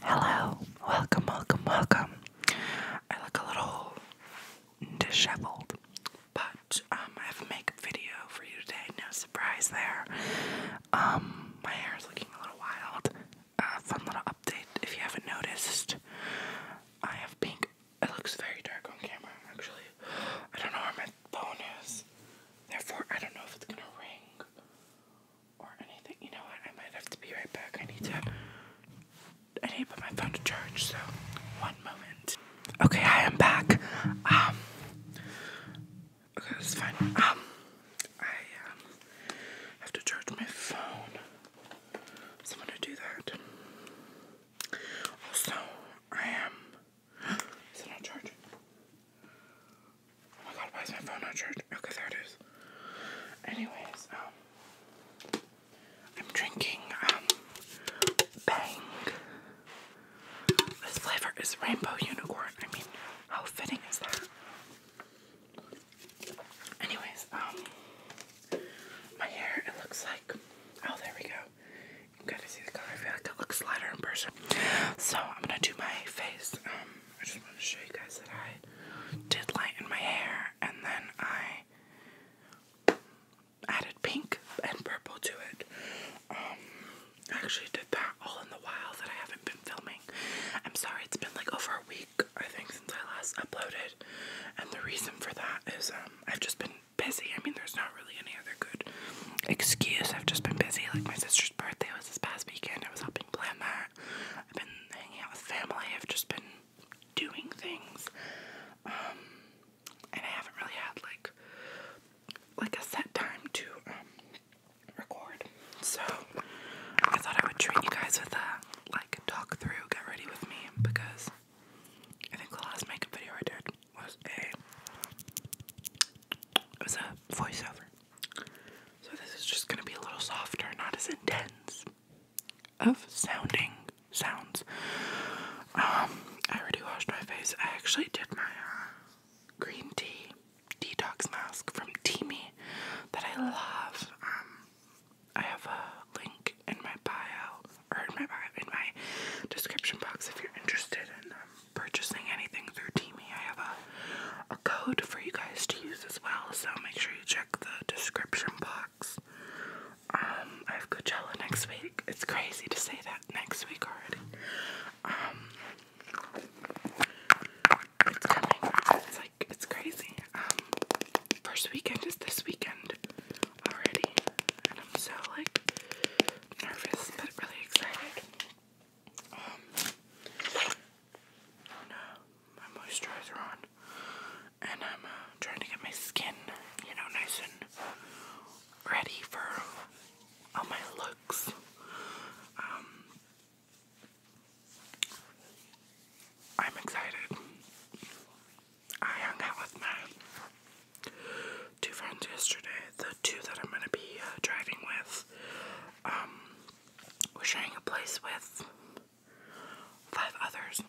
Hello, welcome, welcome, welcome. I look a little disheveled, but um, I have a makeup video for you today. No surprise there. Um, my hair is looking a little wild. Uh, fun little update if you haven't noticed. I have pink. It looks very dark on camera, actually. I don't know where my phone is. Therefore, I don't know if it's gonna ring or anything. You know what? I might have to be right back. I need to. I need to put my phone to charge. So, one moment. Okay, I am back. Um. Okay, that's fine. Um, I um have to charge my phone. Someone to do that. Also, I am. Is it not charging? Oh my god, why is my phone not charged? Okay, there it is. Anyways, um, I'm drinking, um, Bang. This flavor is Rainbow Unicorn. I mean, how fitting is that? Anyways, um, my hair, it looks like, oh, there we go. You gotta see the color. I feel like it looks lighter in person. So, I'm gonna do my face, um, I just want to show you guys that I did lighten my hair and then I added pink and purple to it. Um, I actually did that all in the while that I haven't been filming. I'm sorry, it's been like over a week, I think, since I last uploaded. And the reason for that is um, I've just been busy. I mean, there's not really any other good excuse. I've just been busy. Like, my sister's birthday was this past weekend. I was helping been that. I've been hanging out with family. I've just been doing things. Um, and I haven't really had like like a set time to um, record. So I thought I would treat you guys with a like talk through, get ready with me because I think the last makeup video I did was a was a voiceover. So this is just gonna be a little softer, not as intense of sounding sounds. Um, I already washed my face. I actually did my uh, green tea detox mask from Teamy that I love. Um, I have a link in my bio or in my in my description box if you're interested in um, purchasing anything through Teamy. I have a a code for you guys to use as well, so make sure you check the description box. Um, I have Coachella next week. It's crazy to say that next week already. Um, it's coming. It's like it's crazy. Um, first weekend is this weekend already, and I'm so like nervous but really excited. Um, my moisturizer on, and I'm uh, trying to get my skin, you know, nice and ready for all my looks. Um, I'm excited. I hung out with my two friends yesterday, the two that I'm gonna be uh, driving with. Um, we're sharing a place with five others,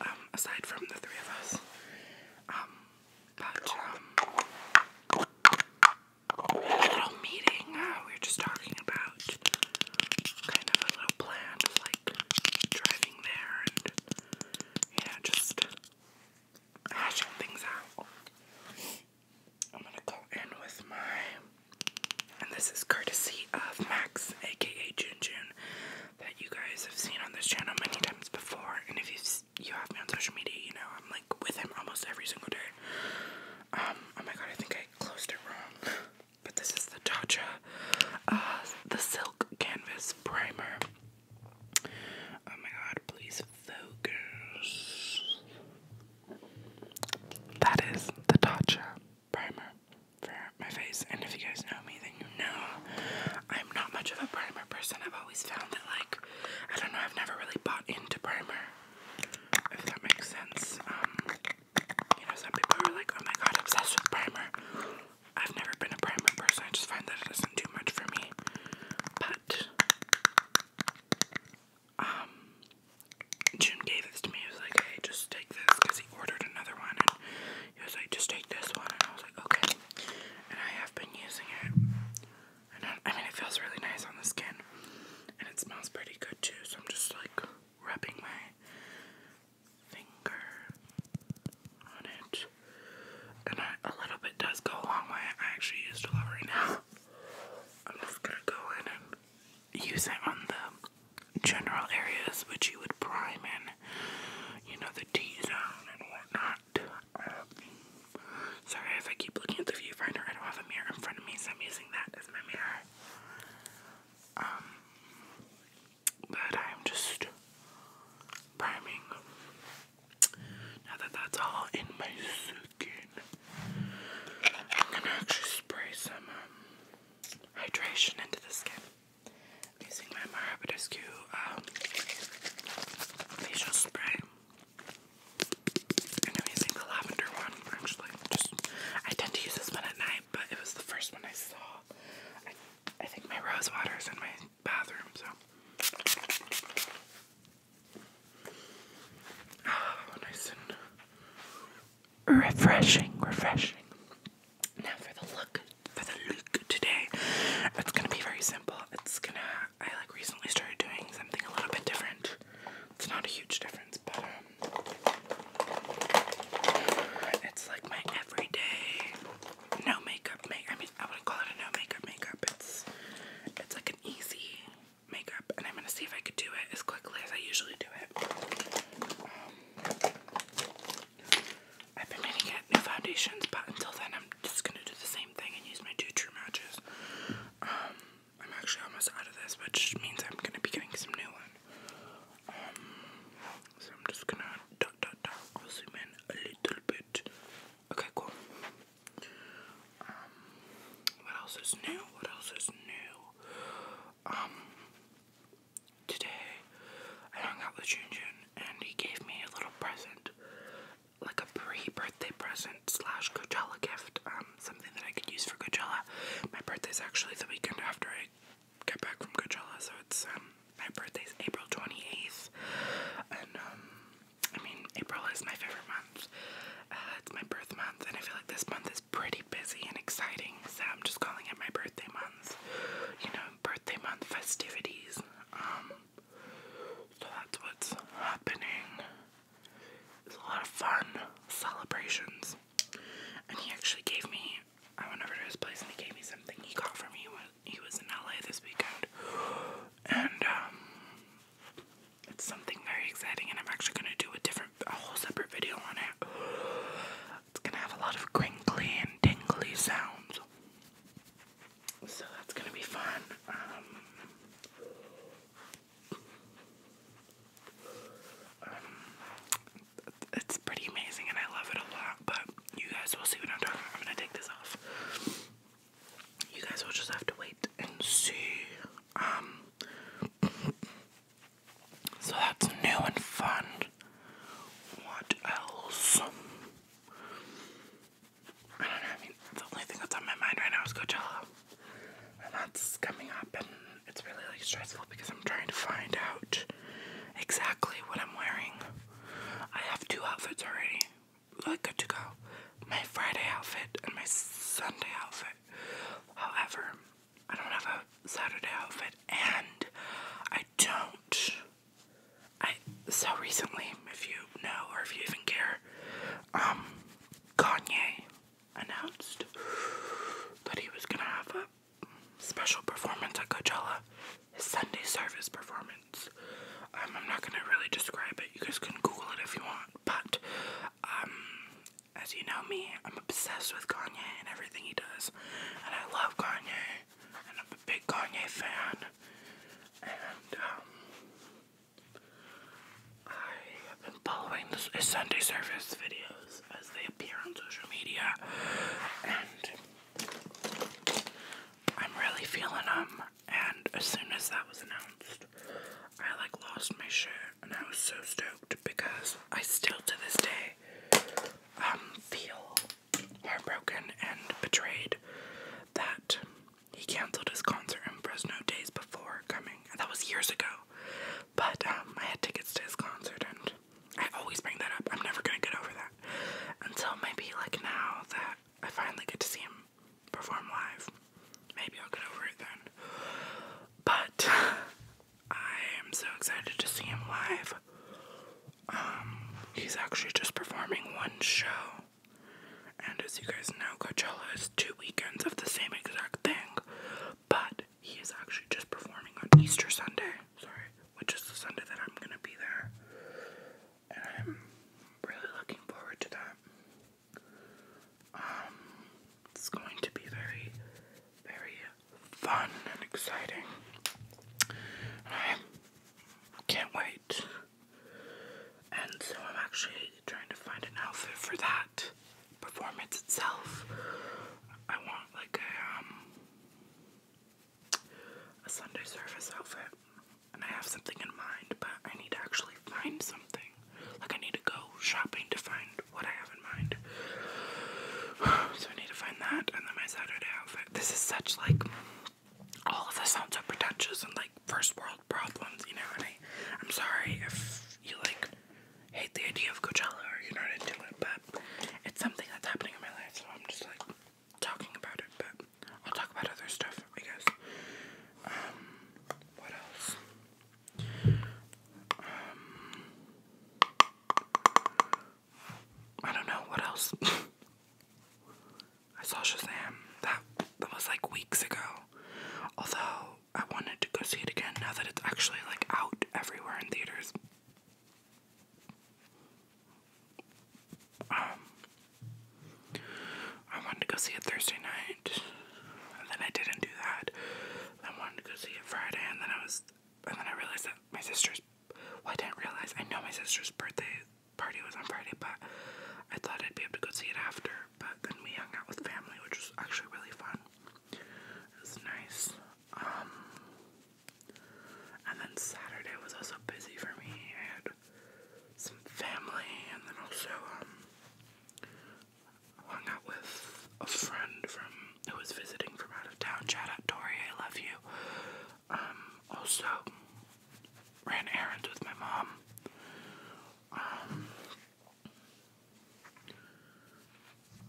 um, aside from the three of us. Um, but, a um, little meeting, uh, we were just talking about kind of a little plan of like driving there and, you just hashing things out. I'm gonna go in with my, and this is courtesy of Max, aka Junjun, that you guys have seen on this channel many times before. And if you you have me on social media, you know I'm like with him almost every single day. Um, oh my god, I think I closed it wrong. But this is the Tatcha, uh, the Silk Canvas Primer. Oh my god, please focus. That is the Tatcha primer for my face. And if you guys know me, then you know I'm not much of a primer person. I've always found that, like, I don't know, I've never really bought into primer, if that makes sense. Um, you know, some people are like, oh my god, obsessed with primer. I've never been a primer person, I just find that it doesn't do much for me. But um, June gave this to me. He was like, hey, just take this, because he ordered another one, and he was like, just take this one, and I was like, okay, and I have been using it, I, mean, it feels really nice on the skin, and it smells pretty good, too, so I'm just, like, rubbing my finger on it, and I, a little bit does go a long way, I actually used a lot right now, I'm just gonna go in and use it on the general areas which you would prime in, you know, the T zone and whatnot. Um, sorry if I keep looking at the viewfinder, I don't have a mirror in front of me, so I'm using that as my mirror. Um, but I'm just priming now that that's all in my skin, I'm gonna actually spray some um, hydration into the skin. using my Mara Badescu um, facial spray. And I'm using the lavender one, actually. I tend to use this one at night, but it was the first one I saw. I, I think my rose water is in my bathroom, so. Ah, nice and refreshing, refreshing. Now for the look, for the look today, it's gonna be very simple. It's gonna, I like recently started doing something a little bit different. It's not a huge difference, but um, it's like my everyday no makeup make. I mean, I wouldn't call it no makeup makeup. It's it's like an easy makeup, and I'm gonna see if I could do it as quickly as I usually do it. Um, I've been meaning new foundations, but until then, I'm just gonna do the same thing and use my two true matches. Um, I'm actually almost out of this, which means I'm gonna be getting some new one. Um, so I'm just gonna dot dot dot. I'll zoom in a little bit. Okay, cool. Um, what else is new? What else is new? Um, today I hung out with Junjun and he gave me a little present, like a pre-birthday present slash Coachella gift. Um, something that I could use for Coachella. My birthday's actually the weekend after I get back from Coachella, so it's um my birthday's April twenty eighth, and um I mean, April is my favorite month. Uh, it's my birth month, and I feel like this month is pretty busy and exciting, so I'm just calling it my birthday month. You know, birthday month festivities. Um, so that's what's happening. It's a lot of fun celebrations. And he actually gave me, I went over to his place and he gave me something he got for me when he was in LA this weekend. And, um, it's something very exciting, and I'm actually gonna do a different, a whole separate video on it. It's gonna have a lot of crinkly and tingly sounds, so that's gonna be fun. Um, um, it's pretty amazing, and I love it a lot. But you guys will see what I'm talking. about. I'm gonna take this off you guys will just have to wait and see. Um, so that's new and fun. What else? I don't know. I mean, the only thing that's on my mind right now is Coachella, and that's coming up, and it's really like stressful because I'm trying to find out exactly what I'm wearing. I have two outfits already like good to go. My Friday outfit and my Sunday outfit. However, I don't have a Saturday outfit and I don't I so recently, if you know or if you even care, um Kanye announced that he was gonna have a special performance at Coachella, his Sunday service performance. Um, I'm not gonna really describe it. You guys can Google it if you want. But um, as you know me, I'm obsessed with Kanye and everything he does, and I love Kanye, and I'm a big Kanye fan. And um, I have been following his Sunday service videos as they appear on social media, and I'm really feeling them and as soon as that was announced, I like lost my shirt, and I was so stoked because I still to this day um feel heartbroken and betrayed that he cancelled his concert in Fresno days before coming. that was years ago, but um, I had tickets to his concert, and I always bring that up. I'm never gonna get over that until maybe like now that I finally get to see him perform live. Maybe I'll get over it then. But I am so excited to see him live. Um, he's actually just performing one show. And as you guys know, Coachella is two weekends of the same exact thing. But he is actually just performing on Easter Sunday. Sorry, which is the Sunday that I'm gonna be there. I'm really looking forward to that. Um, it's going to be very, very fun and exciting. I can't wait. And so I'm actually trying to find an outfit for that performance itself. I want like a um a Sunday service outfit and I have something in mind, but I need to actually find something. Like, I need to go shopping to find what I have in mind. so, I need to find that, and then my Saturday outfit. This is such like all of this sounds so pretentious and like first world problems, you know. And I, I'm sorry if you like hate the idea of Coachella or you're not into it, but it's something that's happening in my life, so I'm just like talking about it. But I'll talk about other stuff, I guess. Um, what else? Um, I don't know what else. I saw Shazam. That that was like weeks ago. Although I wanted to go see it again now that it's actually like out everywhere in theaters. Um, I wanted to go see it Thursday night, and then I didn't do that. Then I wanted to go see it Friday, and then I was, and then I realized that my sister's. Well, I didn't realize. I know my sister's birthday party was on Friday, but I thought I'd be able to go see it after. But then we hung out with family, which was actually really fun. It was nice. Um, and then Saturday was also busy for me. I some family, and then also um, hung out with a friend from who was visiting from out of town. Shout out Tori, I love you. Um, also ran errands with my mom. Um,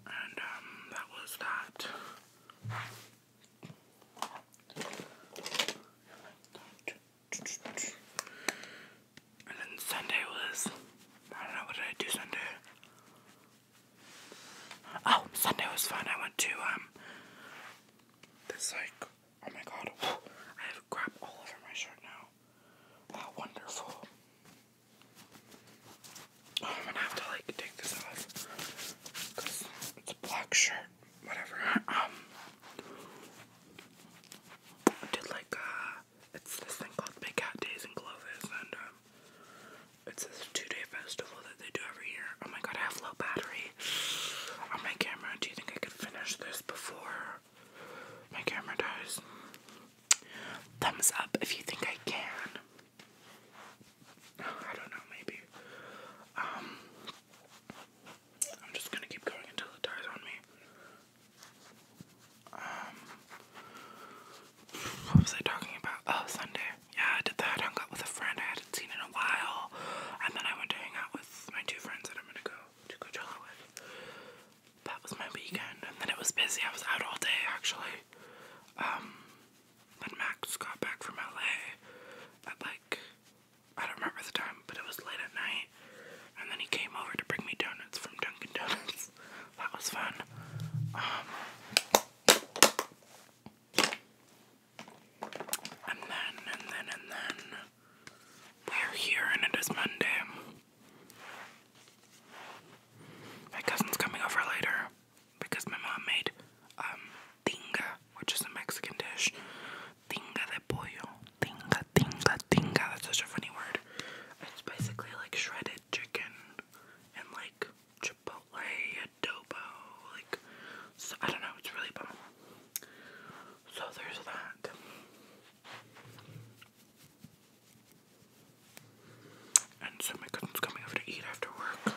and um, that was that. And then Sunday was, I don't know, what did I do Sunday? Oh, Sunday was fun. I went to, um, this, like, oh my god, I have crap all over my shirt now. Wow, wonderful. Oh, I'm gonna have to, like, take this off. Because it's a black shirt whatever. Um, I did like uh, it's this thing called Big Cat Days in Clovis, and um, it's this two-day festival that they do every year. Oh my god, I have low battery on my camera. Do you think I could finish this before my camera dies? Thumbs up if you think I can. I don't know, maybe. Um, I'm just gonna keep going until it tires on me. Um, what was I talking about? Oh, Sunday. Yeah, I did that. hung out with a friend I hadn't seen in a while. And then I went to hang out with my two friends that I'm gonna go to Coachella with. That was my weekend. And then it was busy. I was out all day, actually. Um, then Max got back from LA at like I don't remember the time, but it was late at night. And then he came over to bring me donuts from Dunkin' Donuts. that was fun. Um, and then, and then, and then, we're here and it is Monday. My cousin's coming over later because my mom made um tinga, which is a Mexican dish. Tinga de pollo. Tinga, tinga, tinga. That's such a funny word. It's basically like shredded chicken and like chipotle adobo. Like, so, I don't know, it's really bomb. So there's that. And so my cousin's coming over to eat after work.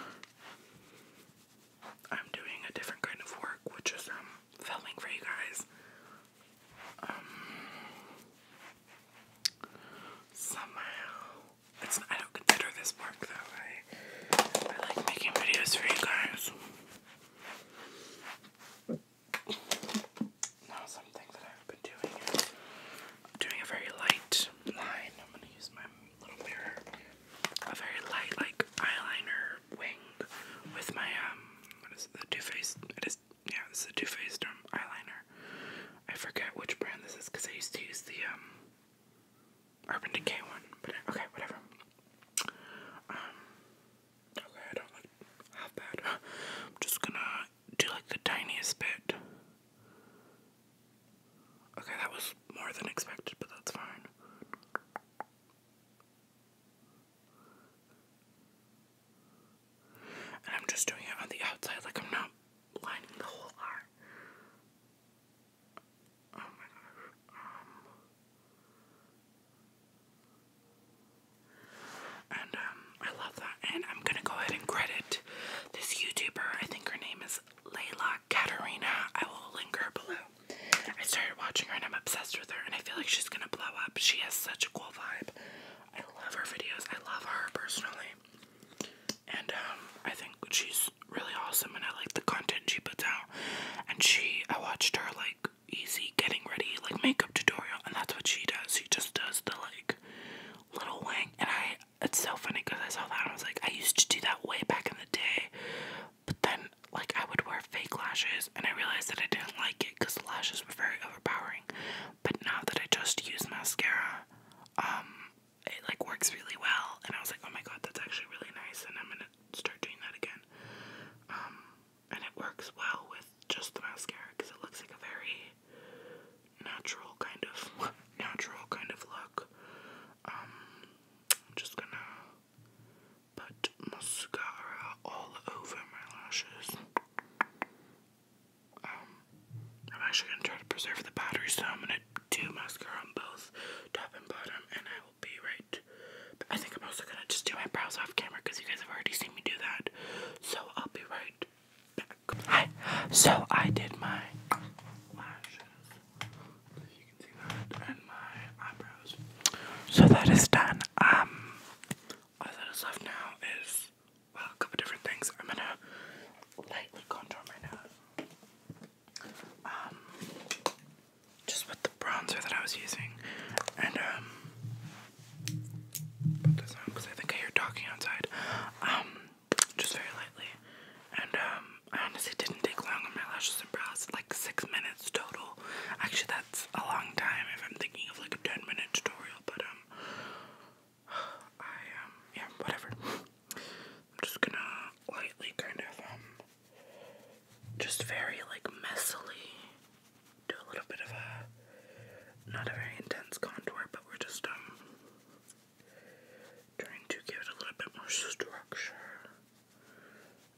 I'm doing a different kind of work, which is um, filming for you guys. Um, somehow it's I don't consider this work though. I I like making videos for you guys. Now something that I've been doing doing a very light line. I'm gonna use my little mirror a very light like eyeliner wing with my um what is it, the Too Faced it is yeah this is a Too Faced um, eyeliner. I forget which brand this is because I used to use the um Urban Decay one, but okay whatever. Um okay I don't like half bad. I'm just gonna do like the tiniest bit. Okay, that was more than expected, but that's fine. And I'm just doing it on the outside, like I'm not lining the whole eye. Oh my gosh. Um. and um, I love that. And I'm gonna go ahead and credit this YouTuber. I think her name is Layla Katarina. I will link her below. I started watching her and I'm obsessed with her and I feel like she's gonna blow up. She has such a cool vibe. I love her videos. I love her personally. And um, I think she's really awesome and I like the content she puts out. And she I watched her like easy getting ready like makeup tutorial and that's what she does. She just does the like little wing and I it's so funny because I saw that and I was like I used to do that way back in the day. But then like I would wear fake lashes and I realized that I didn't like it because the lashes were very overpowering. But now that I just use mascara, um, it like works really well. And I was like, oh my god, that's actually really nice, and I'm gonna start doing that again. Um, and it works well with just the mascara because it looks like a very natural kind of natural kind of look. Um, I'm just gonna Put mascara all over my lashes. Um, I'm actually gonna try to preserve the battery, so I'm gonna do mascara on both top and bottom, and I will be right. I think I'm also gonna just do my brows off camera because you guys have already seen me do that. So I'll be right back. Hi. So I did my lashes. So that is done. Um, all that is left now is a couple different things. I'm gonna lightly contour my nose. Um, just with the bronzer that I was using, and um, put this on because I think I hear talking outside. Um, just very lightly, and um, I honestly didn't take long on my lashes and brows, like six minutes total. Actually, that's a long time if I'm thinking of like a 10 minute tutorial, but um, I um, yeah, whatever. I'm just gonna lightly kind of um, just very like messily do a little bit of a not a very intense contour, but we're just um trying to give it a little bit more structure.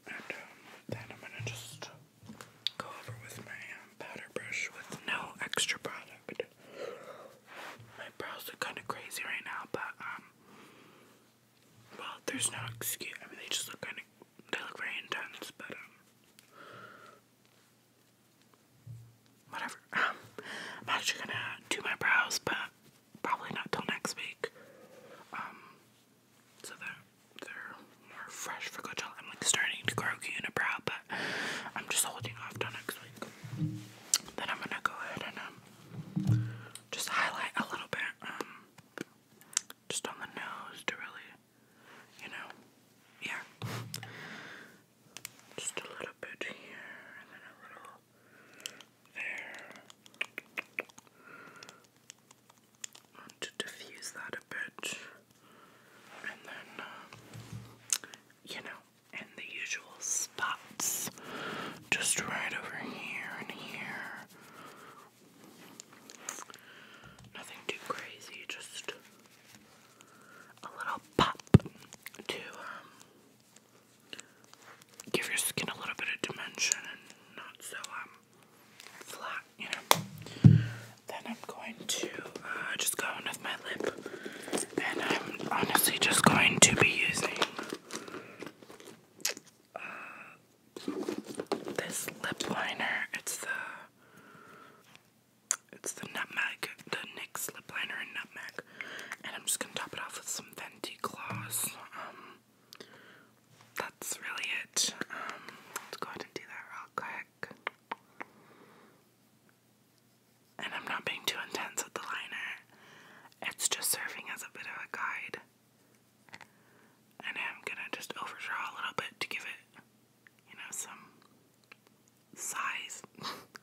And um, then I'm gonna just go over with my um, powder brush with no extra product. My brows look kind of crazy right now, but um, well, there's no excuse. I mean, they just look kind of, they look very intense, but um, whatever. Um, I'm actually gonna do my brows, but probably not till next week. Um, so they they're more fresh for Coachella. I'm like starting to grow brow, but I'm just holding off till next week. Then I'm gonna go ahead and um, just highlight a little bit, um, just on the nose to really, you know, yeah. Just a little bit here and a little there. Want to diffuse that a bit, and then uh, you know, and the usual spots, just right over here and here. Nothing too crazy, just a little pop to um, give your skin a little bit of dimension and not so um flat, you know. Then I'm going to uh, just go in with my lip, and I'm honestly just going to be using uh, this lip liner. It's the it's the nutmeg, the NYX lip liner in nutmeg, and I'm just gonna top it off with some Venti gloss. Um, that's really it. Um, let's go ahead and do that real quick. And I'm not being too intense with the liner, it's just serving as a bit of a guide. And I'm gonna just overdraw a little bit to give it, you know, some size.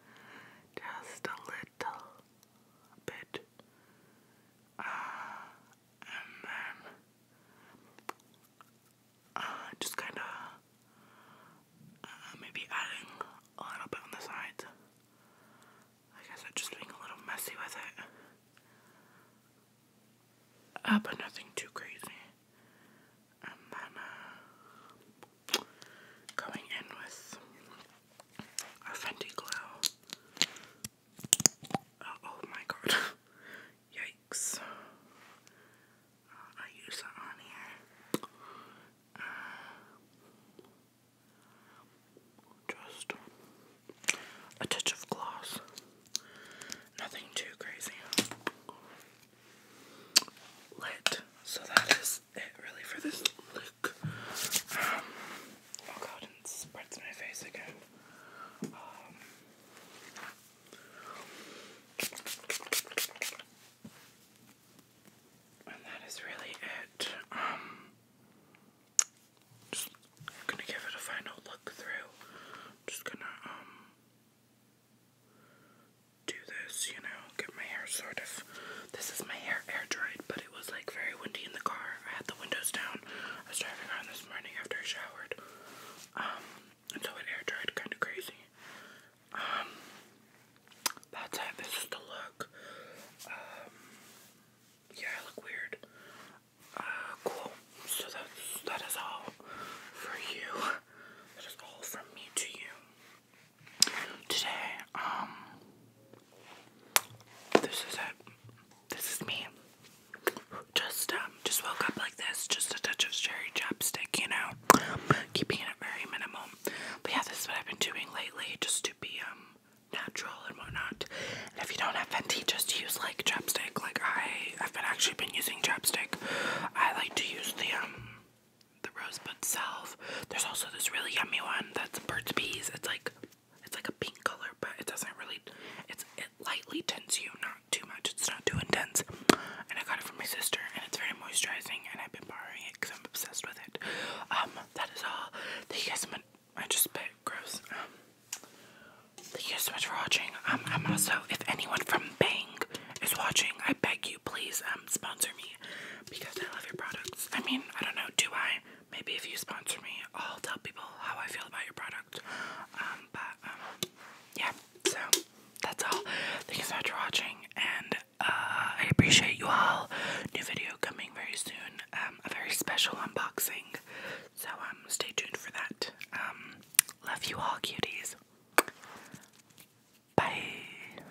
just a little bit. Uh, and then uh, just kind of uh, maybe adding a little bit on the sides. I guess I'm just being a little messy with it. but nothing too crazy. And then going in with a Glow. Uh, oh my god. Yikes. Uh, I use that on here. Uh, just a touch of gloss. Nothing too crazy. Lit. So that is it really for this oh god, it spreads my face again. Um, and that is really it. Um, just gonna give it a final look through. Just gonna um do this, you know, get my hair sort of. This is my hair air dried, but it was like very windy in the car. I had the windows down. I was driving around this morning after I showered. Um, and so it air dried kind of crazy. Um, that's it. This is the look. Um, yeah, I look weird. Uh, cool. So that's, that is all for you. That is all from me to you. Today, um, this is it. This is me. Just um, just woke up like this. Just a touch of cherry chapstick, you know. Keeping it very minimal. But yeah, this is what I've been doing lately, just to be um natural and whatnot. And if you don't have Venti, just use like chapstick. Like I, I've been actually been using chapstick. I like to use the um the rosebud self. There's also this really yummy one that's Burt's Bees. It's like it's like a pink color, but it doesn't really. It's it lightly tints you, not too much. It's not too intense. And I got it from my sister, and it's very moisturizing. And I've been borrowing it because I'm obsessed with it. Um, that is all. Thank you guys so much. I just spit. Gross. Um, thank you so much for watching. Um, I'm also if anyone from Bang is watching, I beg you, please um sponsor me because I love your products. I mean, I don't know. Do I? Maybe if you sponsor me, I'll tell people how I feel about your product. Um, but um, yeah, so that's all. Thank you so much for watching, and uh, I appreciate you all. New video coming very soon. Um, a very special unboxing. So um, stay tuned for that. Um, love you all, cuties. Bye.